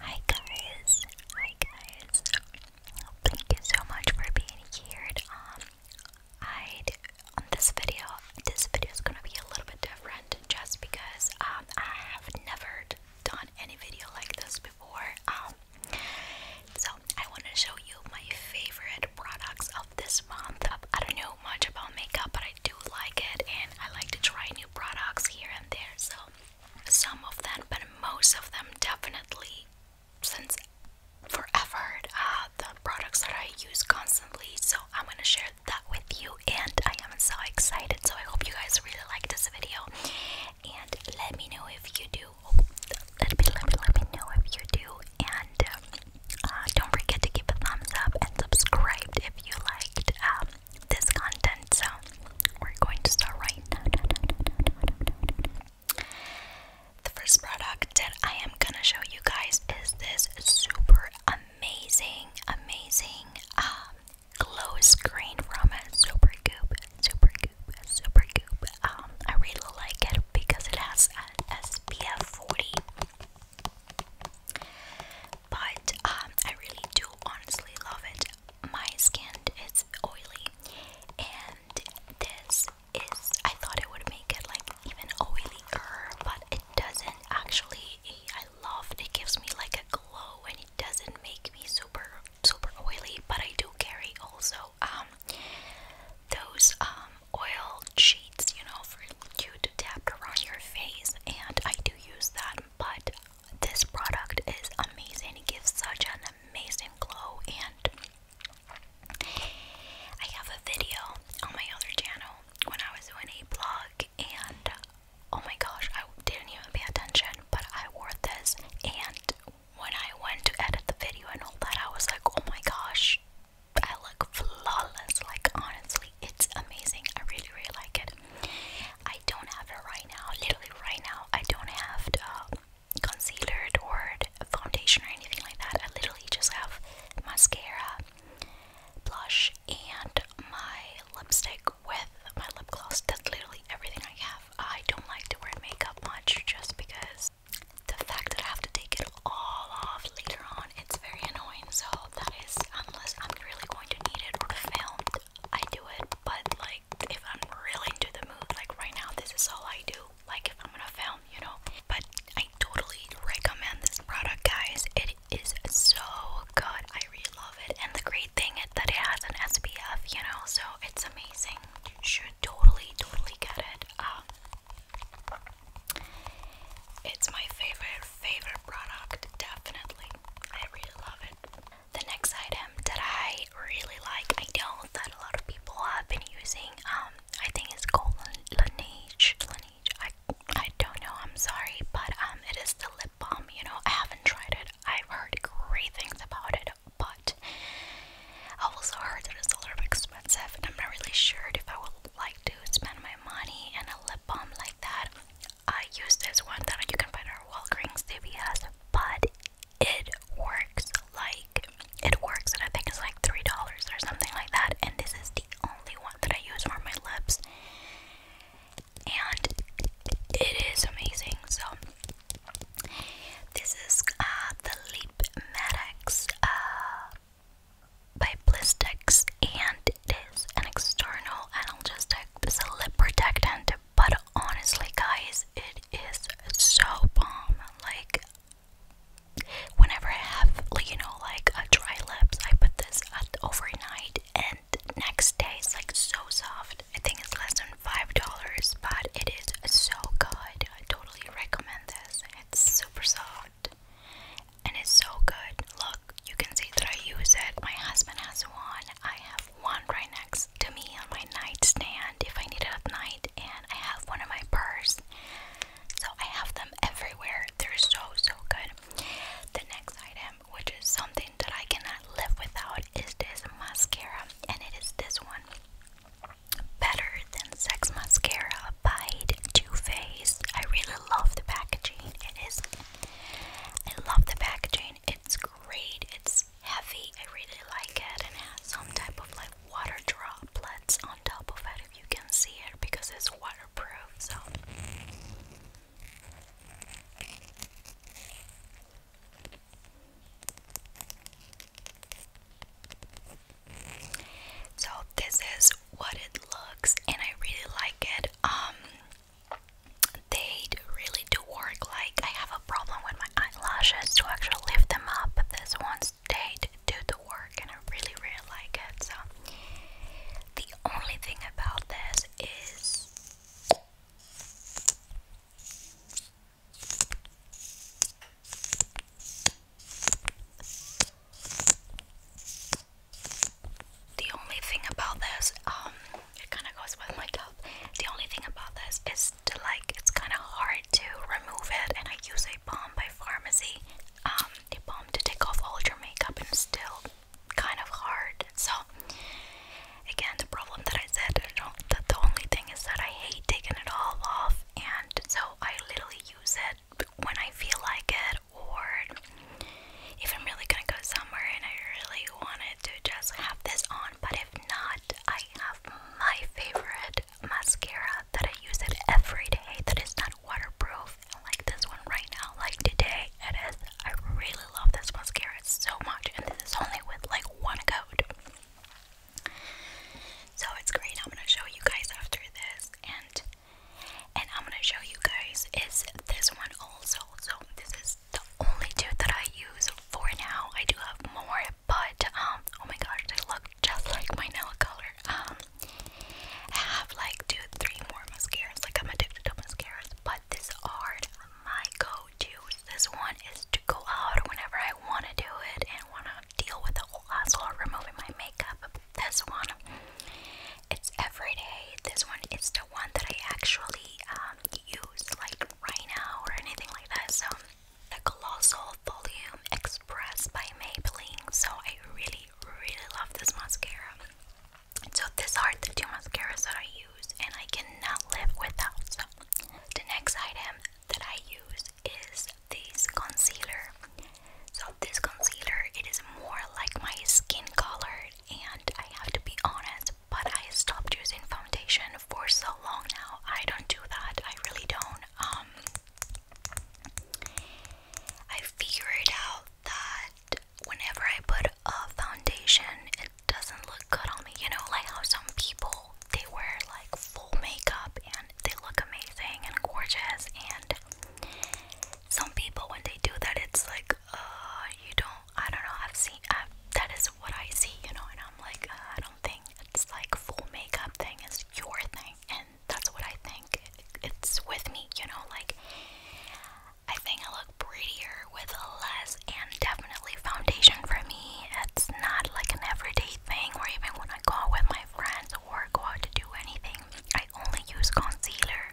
Hi guys, hi guys. Thank you so much for being here. Um, I um, this video, this video is gonna be a little bit different, just because um I have never done any video like this before. Um, so I want to show you my favorite products of this month. I don't know much about makeup, but I do like it and I like to try new products here and there. So, some of them, but most of them definitely, since forever, uh, the products that I use constantly. So, I'm gonna share that with you, and I am so excited. So, I hope you guys really like this video. And let me know if you do. Oh, let me let me let me know if you do. And um, uh, don't forget to give a thumbs up and subscribe if you liked um, this content. So we're going to start right now. The first product that I am gonna show you guys is this super amazing, amazing um, glow screen from Super Goop, Super Goop, Super Goop. Um, I really like it because it has a SPF 40. But um, I really do honestly love it. My skin is oily, and this is. I thought it would make it like even oilier, but it doesn't actually. I love it. Gives me like a glow, and it doesn't make me super super oily. But I do carry also um, those um, oil she you know, for you to tap around your face, and I do use that, but this product is amazing. It gives such an amazing glow, and I have a video on my other channel when I was doing a blog, and oh my gosh, I didn't even pay attention, but I wore this, and when I went to edit the video and all that, I was like, oh my gosh, I look flawless. Like honestly, it's amazing. I really really like it. I don't have it right now. Literally right now, I don't have um, concealer or foundation or anything like that. I literally just have mascara, blush, and my lipstick with my lip gloss. That's literally everything I have. I don't like to wear makeup much just because the fact that I have to take it all off later on. It's very annoying, so that is unless I'm really going to need it or to film, I do it. But like if I'm really into the mood, like right now, this is all I do. Like if I'm gonna film, you know. But I totally recommend this product, guys. It is so good. I really love it, and the great thing is that it has an SPF, you know, so it's amazing. Should totally, totally get it. Um, it's my favorite, favorite product, definitely. I really love it. The next item that I really like, I know that a lot of people have been using, um, I think it's called Laneige. Laneige. I, I don't know, I'm sorry, but um, it is the lip balm. You know, I haven't tried it, I've heard great things about it, but I've also heard that it's a little expensive, and I'm not really sure if I will like to spend my money and a lip balm like that, I use this one that you can find at Walgreens, CVS, but it works like it works, and I think it's like three dollars or something like that. And this is the only one that I use for my lips, and it is amazing. So this is uh, the Lip Medics by Blistex and it is an external analgesic. a lip protectant, but honestly, guys, it is so bomb. Like, whenever I have, like, you know, like a dry lips, I put this at overnight and next day it's like so soft. I think it's less than $5, but it is so good. I totally recommend this. It's super soft and it's so good. Look, you can see that I use it. My husband has one. I have one right next to me on my nightstand if I need it at night, and I have one in my purse. So I have them everywhere. They're so so good. The next item, which is something that I cannot live without, is this mascara, and it is this one. Better than Sex Mascara Bite Too Faced. I really love the packaging. It is. I love the packaging. It's great. It's heavy. I really like it, and it has some type of like water droplets on top of it. If you can see it, because it's waterproof. So. So this is what it looks and I really like it. Um they really do work like I have a problem with my eyelashes to actually lift them up, but this one stayed do the work and I really really like it. So the only thing about this is the only thing about this, um, it kind of goes with my top. The only thing about this is to like, it's kind of hard to remove it, and I use a balm by Pharmacy, um, a balm to take off all your makeup, and it's still kind of hard. So, again, the problem that I said, I don't, the only thing is that I hate taking it all off, and so I literally use it when I feel like it, or if I'm really gonna go somewhere and I really wanted to just have this on, but if not, I have my favorite mascara that I use it every day that is not waterproof, like this one right now, like today it is. I really love this mascara so much, and this is only with like one coat. So it's great. I'm gonna show you guys after this, and and I'm gonna show you guys is this one also. So this is the only two that I use for now. I do have more, but um, oh my gosh, they look just like my nail color. Um, I have like two, three more mascaras. Like I'm addicted to mascaras, but this art, my go-to. This one is to go out whenever I want to do it and want to deal with the whole hassle of removing my makeup. this one, it's every day. This one is the one that I actually um, use like right now or anything like that. So the Colossal Volume Express by Maybelline. So I really, really love this mascara. So these are the two mascaras that I use and I cannot live without. the next item that I use is this concealer. So this concealer, it is more like my skin color and I have to be honest, but I stopped using foundation for so long now. I don't do that. I really don't. Um I figured out that whenever I put a foundation, it doesn't look good on me. You know, like how some people they wear like full makeup and and they look amazing and gorgeous. And some people, when they do that, it's like, uh, you don't, I don't know, I've seen, I've, that is what I see, you know, and I'm like, uh, I don't think it's like full makeup thing is your thing, and that's what I think. It's with me, you know, like, I think I look prettier with less, and definitely foundation for me. It's not like an everyday thing, or even when I go out with my friends or go out to do anything, I only use concealer.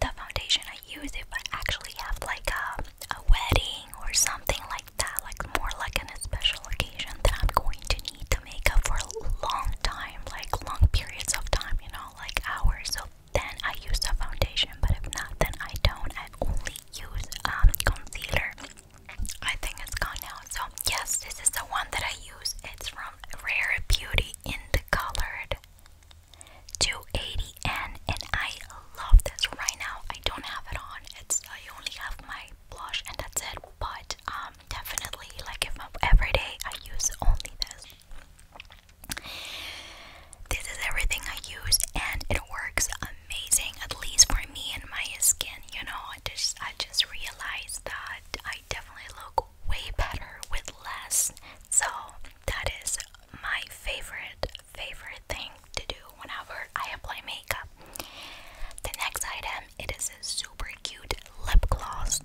The foundation I use if I actually have like a, a wedding or something like that, like more like an, a special occasion that I'm going to need the makeup for a long time, like long periods of time, you know, like hours. So then I use the foundation, but if not, then I don't. I only use um, concealer. I think it's gone now. So, yes, this is the one that I use. It's from Rare Beauty in the Colored 280N, and I love this right now. I don't have it on. It's I only have my blush, and that's it. But um, definitely, like if I'm every day, I use only this. This is everything I use, and it works amazing, at least for me and my skin. You know, I just I just realized that I definitely look way better with less. So that is my favorite favorite thing to do whenever I apply makeup. The next item it is a super cute lip gloss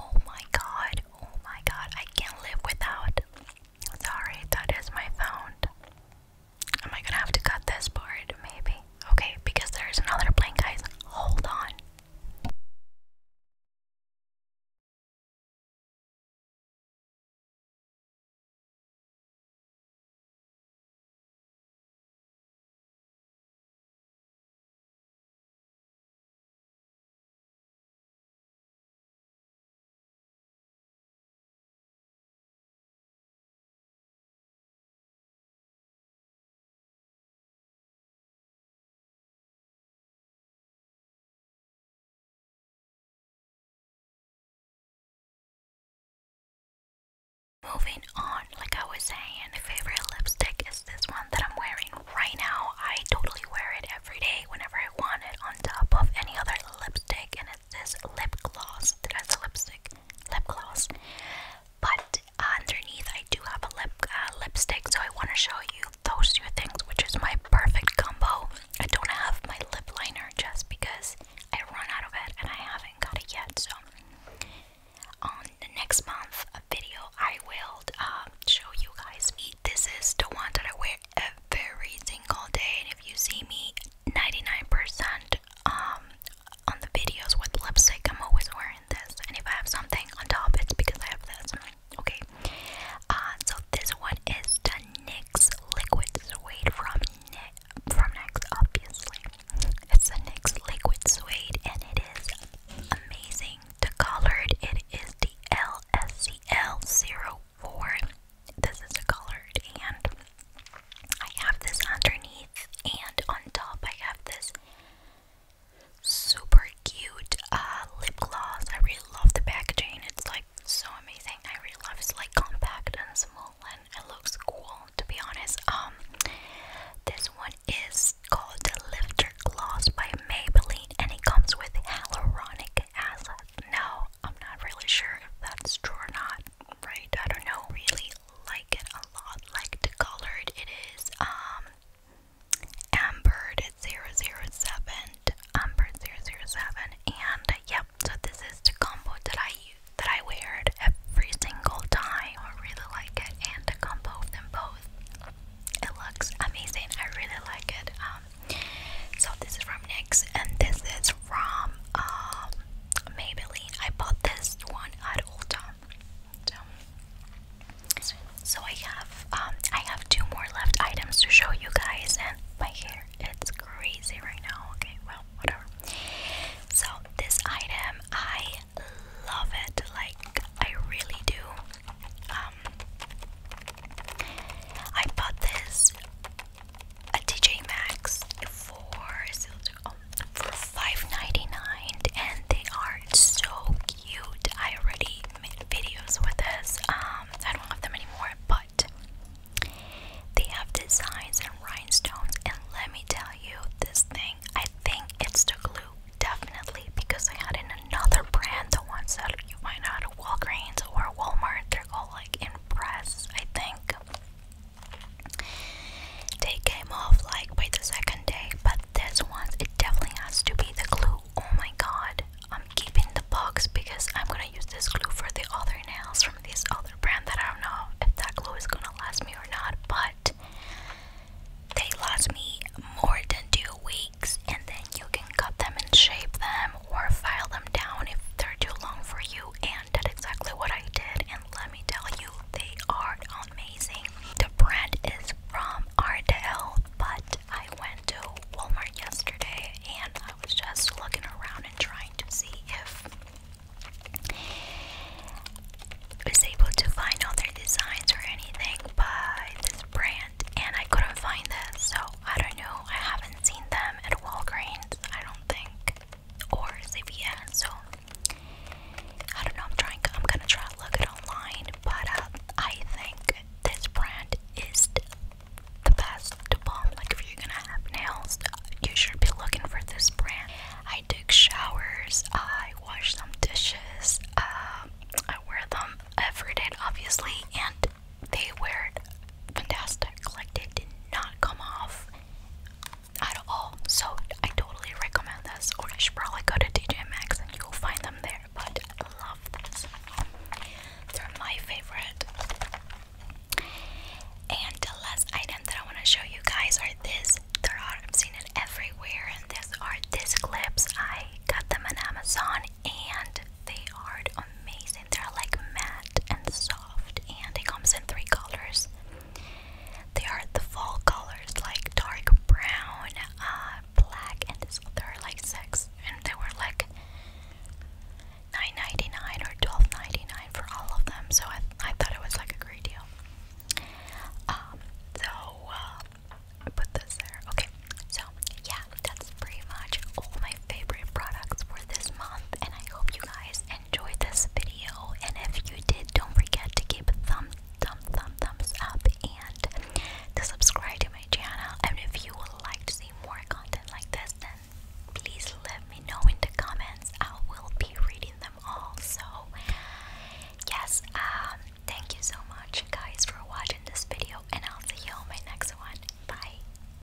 oh my god, oh my god, I can't live without. Sorry, that is my phone. Am I gonna have to cut this part? Maybe. Okay, because there's another plane, guys. Hold on. Moving on, like I was saying, my favorite lipstick is this one that I'm wearing right now. I totally wear it every day whenever I want it on top of any other lipstick, and it's this lip gloss that a lipstick lip gloss but underneath I do have a lip uh, lipstick so I want to show you those two things which is my perfect combo I don't have my lip liner just because I run out of it and I haven't got it yet so on the next month a video I will uh, show you guys me this is the one that I wear every single day and if you see me 99% um, on the videos with lipstick, I'm always wearing this. And if I have something on top, it's because I have this. Okay. Uh, so this one is the NYX Liquid Suede from, Ni NYX, obviously. It's the NYX Liquid Suede, and it is amazing. The colored, it is the LSCL04. This is a colored, and I have this underneath, and on top, I have this super cute uh, lip gloss. I really love the packaging, it's like so amazing. I really love it's like compact and small, and it looks cool to be honest. Um, this one is called the Lifter Gloss by Maybelline, and it comes with hyaluronic acid. No, I'm not really sure if that's true or not right? I don't know, really like it a lot, like the color it is, um, ambered at 007, ambered 007, and uh, yep, so this is the combo that I use, that I wear every single time, I really like it, and the combo of them both, it looks amazing, I really like it, um, so this is from NYX, and this is from um, Maybelline. I bought this one at Ulta. So, so I have um, I have two more left items to show you guys, and my hair it's crazy right now. Okay, well whatever. So this item I love it. Like I really do. Um, I bought this a TJ Maxx for oh, for $5.99 and they are so cute. I already made videos with this. Um, I don't have them anymore, but they have designs and rhinestones. And let me tell you, this thing, I think it's the glue, definitely, because I had in another brand, the ones that you find out at Walgreens or Walmart, they're called like Impress, I think. They came off like by the second day, but this one it definitely has to be the glue. Oh my god, I'm keeping the box because I'm gonna use this glue for the other nails from this other brand that I don't know if that glue is gonna last me or not, but they last me more than two weeks, and then you can cut them and shape them or file them down if they're too long for you. And and did exactly what I did. And let me tell you, they are amazing. The brand is from Ardell, but I went to Walmart yesterday and I was just looking around and trying to see if I was able to find other designs or anything by this brand, and I couldn't find this, so I don't know. I haven't seen them at Walgreens, I don't think or Sevilla. So I don't know. I'm trying. I'm gonna try to online, but uh, I think this brand is the best Like if you're gonna have nails, you should be looking for this brand. I took showers. I washed some dishes. Um, I wear them every day, obviously, and they were fantastic. Like they did not come off at all. So I totally recommend this. Or I should probably go to TJ Max and you'll find them there. But I love this. They're my favorite. And the last item that I want to show you guys are this. There are I've seen it everywhere, and these are these clips. I got them on Amazon, and they are amazing. They're like matte and soft, and it comes in three colors. They are the fall colors, like dark brown, uh, black, and this are like six, and they were like nine ninety nine or twelve ninety nine for all of them. So I, I thought it was like a great deal. Um, so uh, I put this there. Okay, so yeah, that's pretty much all my favorite products for this month, and I hope you guys enjoyed this video. And if you did, don't forget to give thumb, thumb, thumb, thumbs up, and to subscribe to my channel. And if you would like to see more content like this, then please let me know in the comments. I will be reading them all. So, yes, um, thank you so much, guys, for watching this video, and I'll see you in my next one. Bye.